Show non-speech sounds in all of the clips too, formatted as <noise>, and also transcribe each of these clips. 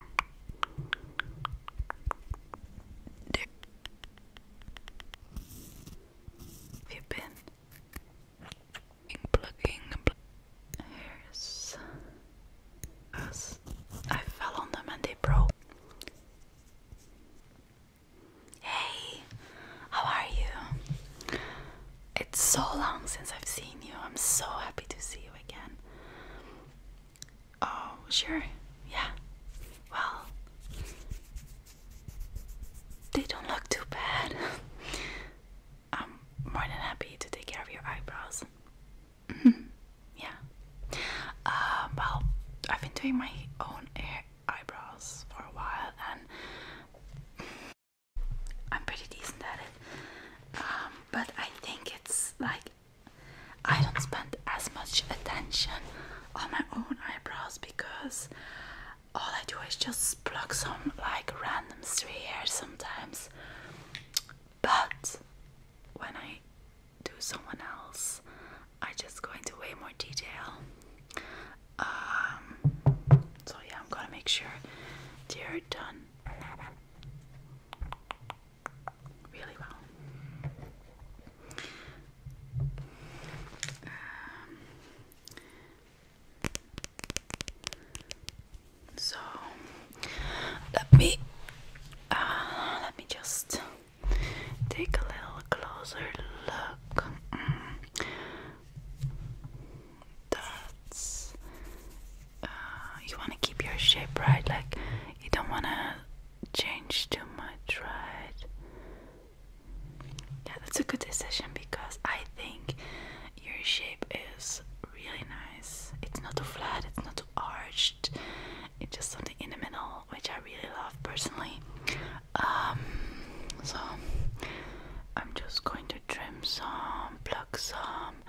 Have you been plugging the I fell on them and they broke. Hey, how are you? It's so long since I've seen you. I'm so happy to see you again. Oh, sure. Yeah. Well, they don't look too bad. <laughs> I'm more than happy to take care of your eyebrows. Mm-hmm. <laughs> yeah. Um, well, I've been doing my own eyebrows for a while and I'm pretty decent at it. Um, but I think it's like I don't spend as much attention on my own eyebrows because all I do is just pluck some like random stray hairs sometimes. But when I do someone else, I just go into way more detail. Um, so yeah, I'm gonna make sure you are done really well. Um, so let me uh, let me just take a little closer look. Mm. That's uh, you want to keep your shape right, like you don't want to change too much, right? Yeah, that's a good decision because I think your shape is really nice. It's not too flat, it's not too arched, it's just something in the middle, which I really love personally. Um, so I'm just going to trim some, pluck some um,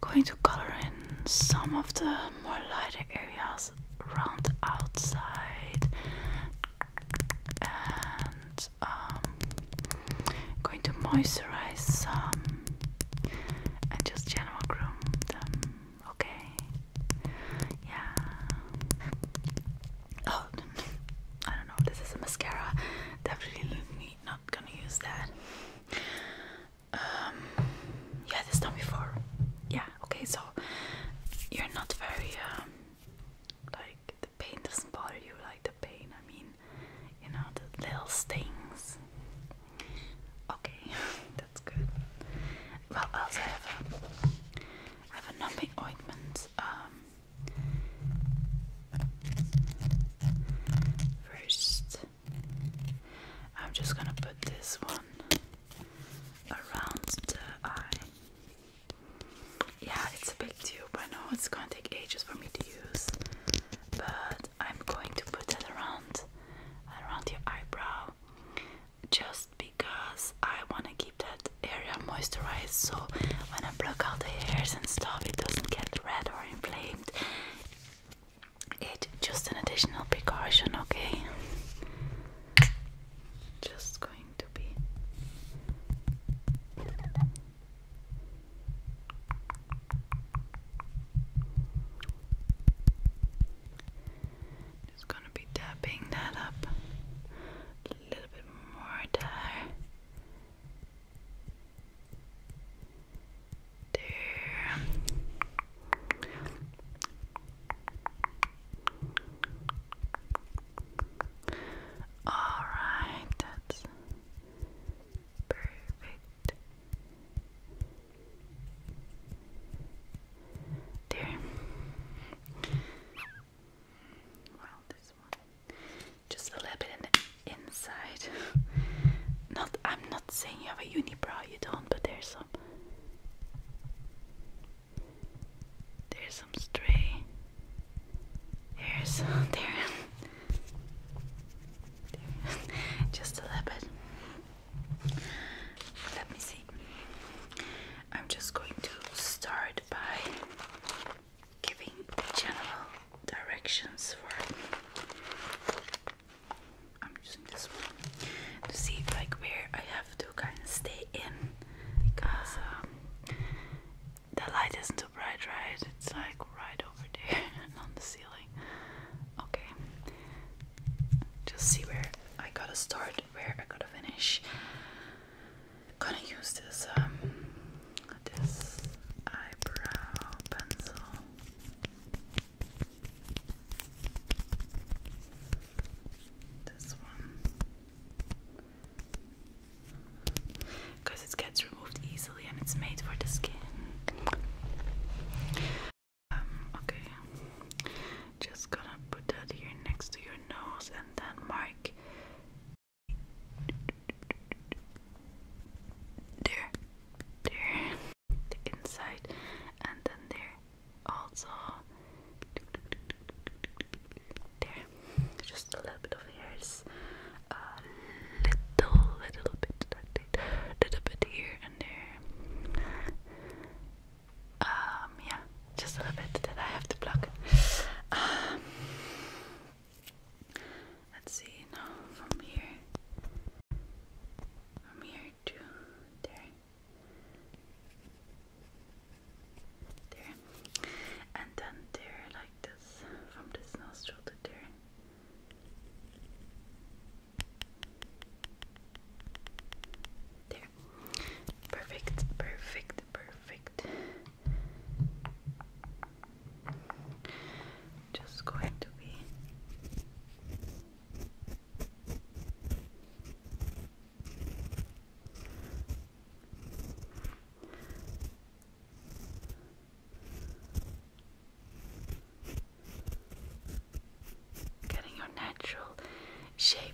going to color in some of the more lighter areas around the outside and um, going to moisturize some and just general groom them. Okay. Yeah. Oh, <laughs> I don't know. This is a mascara. Definitely not gonna use that. Um, yeah, this time before. Yeah, okay, so you're not very, um, like, the pain doesn't bother you, like, the pain, I mean, you know, the little stings. Okay, <laughs> that's good. Well, also I have a, um, I have a numbing ointment, um, first. I'm just gonna put this one around the eye. Yeah, it's a big tube. I know it's gonna take ages for me to use, but I'm going to put that around around your eyebrow just because I want to keep that area moisturized so when I pluck out the hairs and stuff it doesn't get red or inflamed it's just an additional precaution, okay? Just going to be just gonna be tapping that up a little bit more there there. All right, perfect. There. Well, this one just a little bit inside. not I'm not saying you have a unibrow, you don't, but there's some there's some stray hairs <laughs> there. there. <laughs> Just a little bit. Let me see. I'm just going to start by giving general directions for I'm using this one to see like where I have to kind of stay in because um, the light isn't too bright, right? It's like right over there <laughs> on the ceiling. Okay, just see where I gotta start, where I gotta finish. Gonna use this um this eyebrow pencil this one. Because it gets removed easily and it's made for the skin. Um, okay. Just gonna put that here next to your nose and then mark there, there, the inside, and then there, also there, just a little bit of hairs, a little, little bit, little bit here and there. Um, yeah, just a bit that I have to pluck. Um, Let's see now from here, from here to there, there, and then there like this from this nostril to there. There. Perfect, perfect, perfect just going to be getting your natural shape.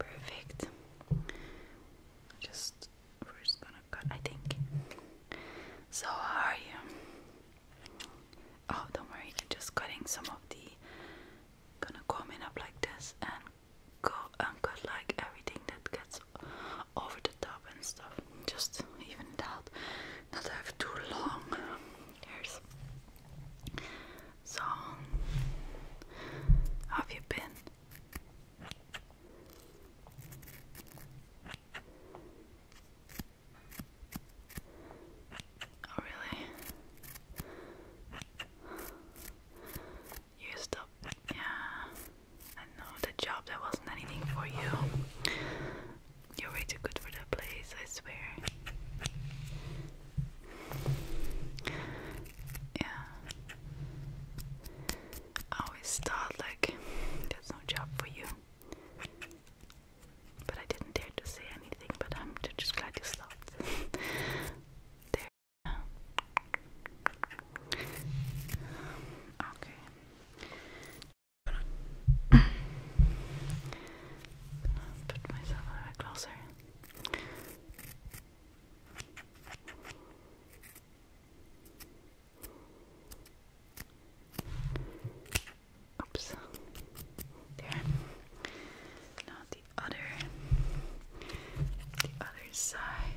Perfect. Just first gonna cut, I think. So, how are you? Oh, don't worry, just cutting some of the. Gonna comb it up like this and go and cut like everything that gets over the top and stuff. Just even it out. Not have too long hairs. So, have you been? Oh, really? You still yeah, I know the job that wasn't anything for you. You're way too good for that place, I swear. Yeah, I always thought like there's no job for you, but I didn't dare to say anything. But I'm just glad you stopped. <laughs> Okay. I'm going put myself a little bit closer. Oops. There. Now the other the other side.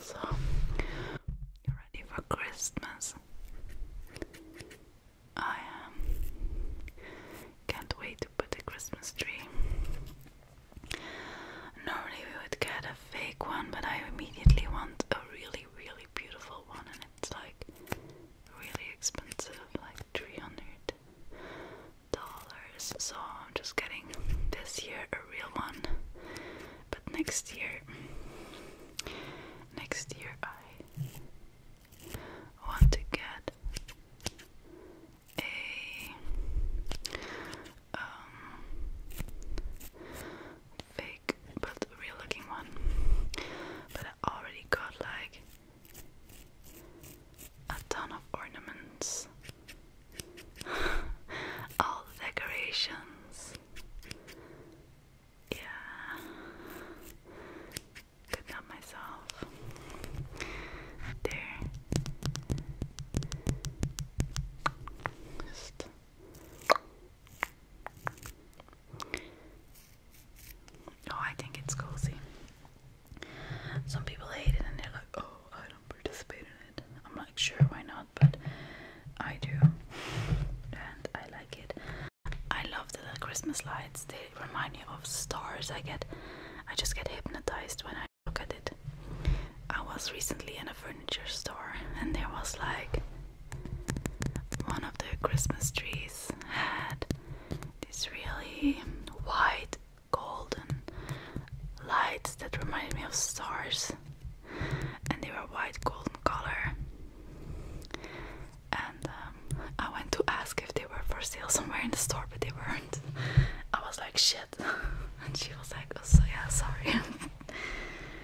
So, you ready for Christmas? I am. Um, can't wait to put the Christmas tree. Normally we would get fake one, but I immediately want a really, really beautiful one, and it's like really expensive, like three hundred dollars. So I'm just getting this year a real one, but next year, next year I want to get a um, fake but real looking one. But I already got like a ton of ornaments, <laughs> all decorations. Yeah, could not myself. There, Oh, I think it's cozy. Some people hate it and they're like, oh, I don't participate in it. I'm like, sure, why not? But I do. And I like it. I love the little Christmas lights. They remind me of stars. I get, I just get hypnotized when I look at it. I was recently in a furniture store and there was like one of the Christmas trees had these really white golden lights that reminded me of stars and they were white golden color and um, I went to ask if they were for sale somewhere in the store but they weren't I was like shit <laughs> and she was like oh so yeah sorry <laughs>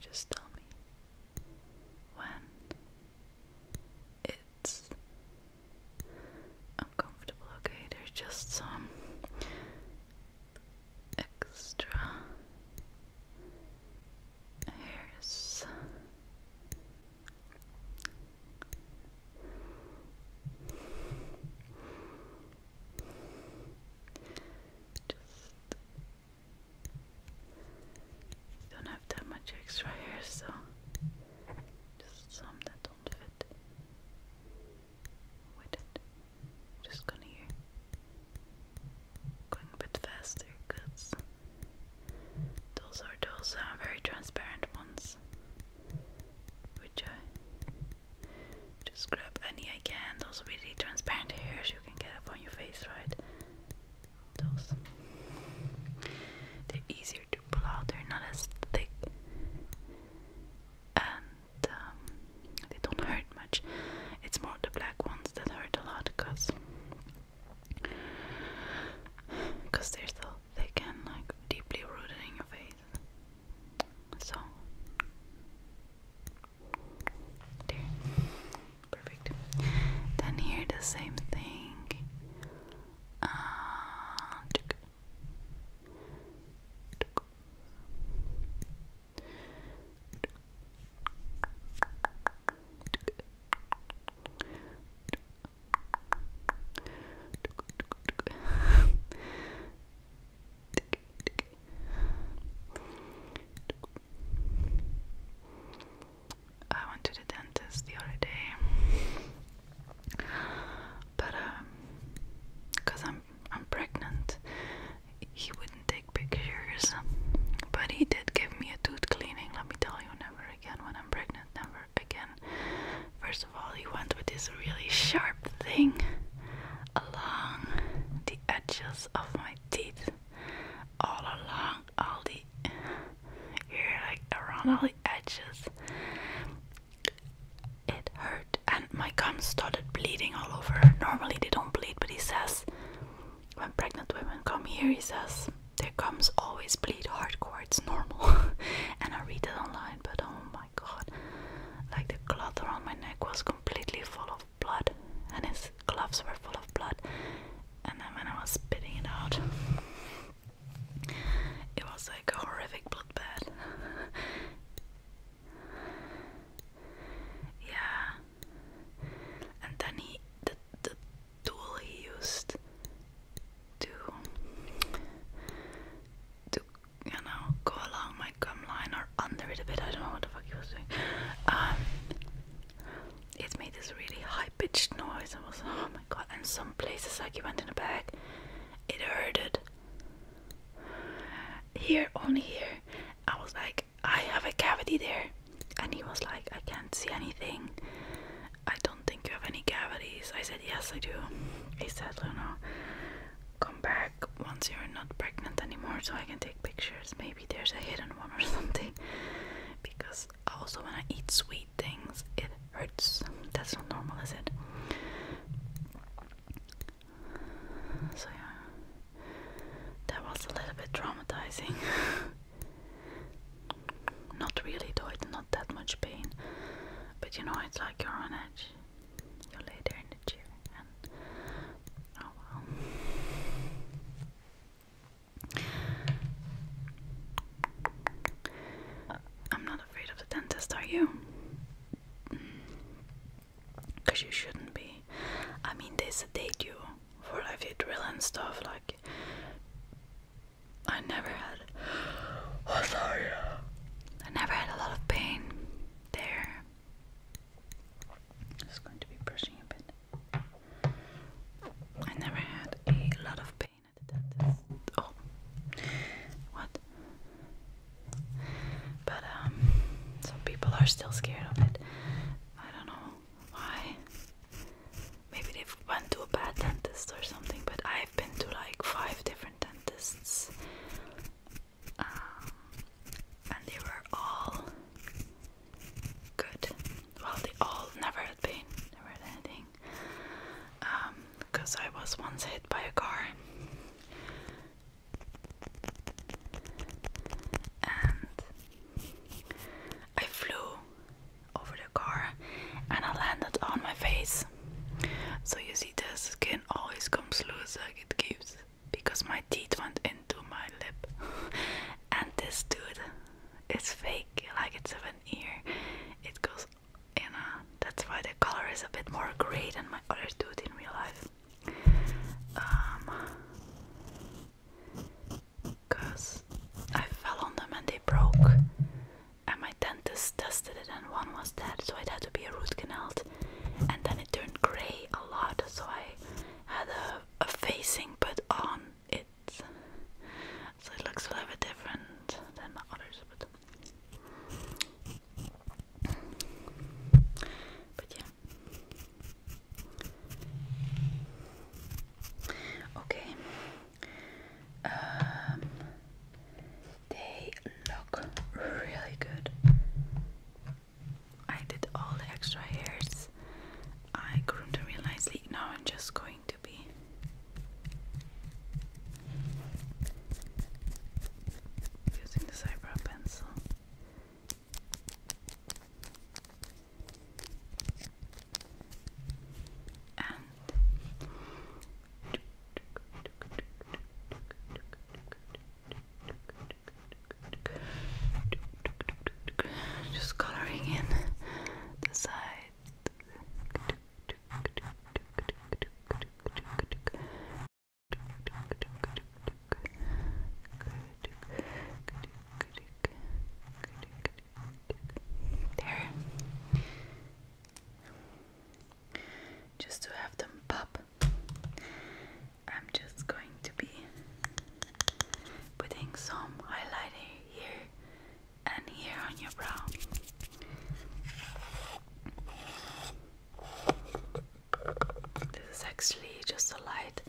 Just tell me when it's uncomfortable, okay? There's just some extra hairs. Just don't have that much extra hair, so just some that don't fit with it. Just gonna here. Going a bit faster because those are those very transparent ones, which I just grab any I can. Those really transparent hairs you can get up on your face, right? Those. They're easier to pull out, they're not as thick. And um, they don't hurt much. It's more the black ones that hurt a lot because because they're so thick and like deeply rooted in your face. So there. Perfect. Then here the same thing. I went to the dentist the other day, but um, cause I'm I'm pregnant, he wouldn't take pictures. But he did give me a tooth cleaning. Let me tell you, never again when I'm pregnant. Never again. First of all, he went with this really sharp Thing along the edges of my teeth, all along all the here, like around all the edges. It hurt, and my gums started bleeding all over. Normally they don't bleed, but he says when pregnant women come here, he says their gums always bleed hardcore. It's normal, <laughs> and I read it online, but um, my god. Like the cloth around my neck was completely full of blood, and his gloves were full of blood. And then when I was spitting it out, it was like a horrific blood bath. <laughs> yeah. And then he, the, the tool he used to to you know, go along my gum line or under it a bit. I don't know what the fuck he was doing. Um, it made this really high pitched noise. I was, oh my god. And some places, like he went in the back, it hurted. Here, only here. I was like, I have a cavity there. And he was like, I can't see anything. I don't think you have any cavities. I said, Yes, I do. He said, Luna, come back once you're not pregnant anymore so I can take pictures. Maybe there's a hidden one or <laughs> something. Because also when I eat sweet things it hurts. That's not normal, is it? So yeah. That was a little bit traumatizing. <laughs> not really though, it's not that much pain. But you know it's like you're on edge. You are later in the chair and oh well. I'm not afraid of the dentist, are you? Because mm. you shouldn't be. I mean, they sedate you for Evidril and stuff. Like, I never had. Oh, <sighs> sorry. I never had a lot of pain there. Just going to be brushing a bit. I never had a lot of pain at the dentist. Oh, what? But um, some people are still scared of it. I don't know why. Maybe they've went to a bad dentist or something. But I've been to like five different dentists, um, and they were all good. Well, they all never had pain, never had anything. Because um, I was once hit by a car, and I flew over the car, and I landed on my face. So you see, the skin always comes loose, like it gives because my teeth went into my lip. <laughs> and this dude is fake, like it's of an It goes in a. That's why the color is a bit more gray than my other tooth in real life. Um, Cause I fell on them and they broke. And my dentist tested it and one was dead, so it had to be a root canal and then it turned grey a lot, so I had a, a facing put on it, so it looks a little bit different than the others. But Okay. Um, they look really good. I did all the extra hairs. I groomed them really nicely. Now I'm just going to be using this eyebrow pencil. And just coloring in the sides. There just to have them pop. I'm just going to be putting some highlighter here and here on your brow. This is actually just a light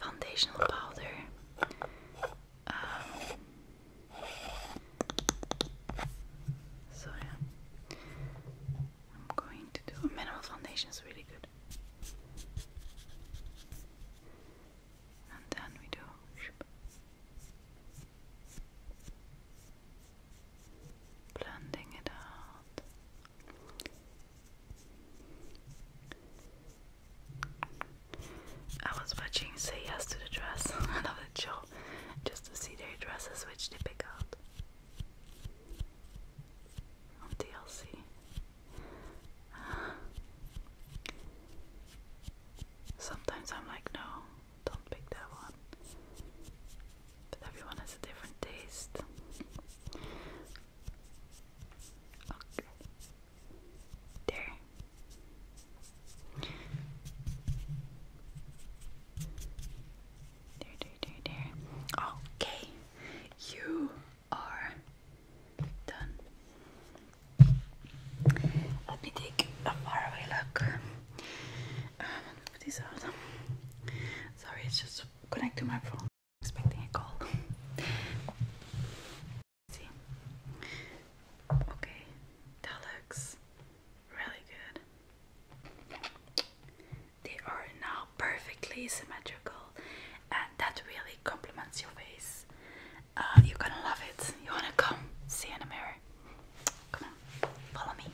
foundational powder. Um, so yeah, I'm going to do a mineral foundation is really good. And then we do blending it out. I was watching Say Yes to the Dress, <laughs> another show, just to see their dresses which they pick out. DLC. Sometimes I'm like, no, don't pick that one. But everyone has a different taste. Okay. There. Okay, you are done. Let me take a faraway look. Um, Sorry, it's just connect to my phone. Expecting a call. See. Okay, that looks really good. They are now perfectly symmetrical, and that really complements your face. Uh, you're gonna love it. You wanna come see in the mirror? Come on, follow me.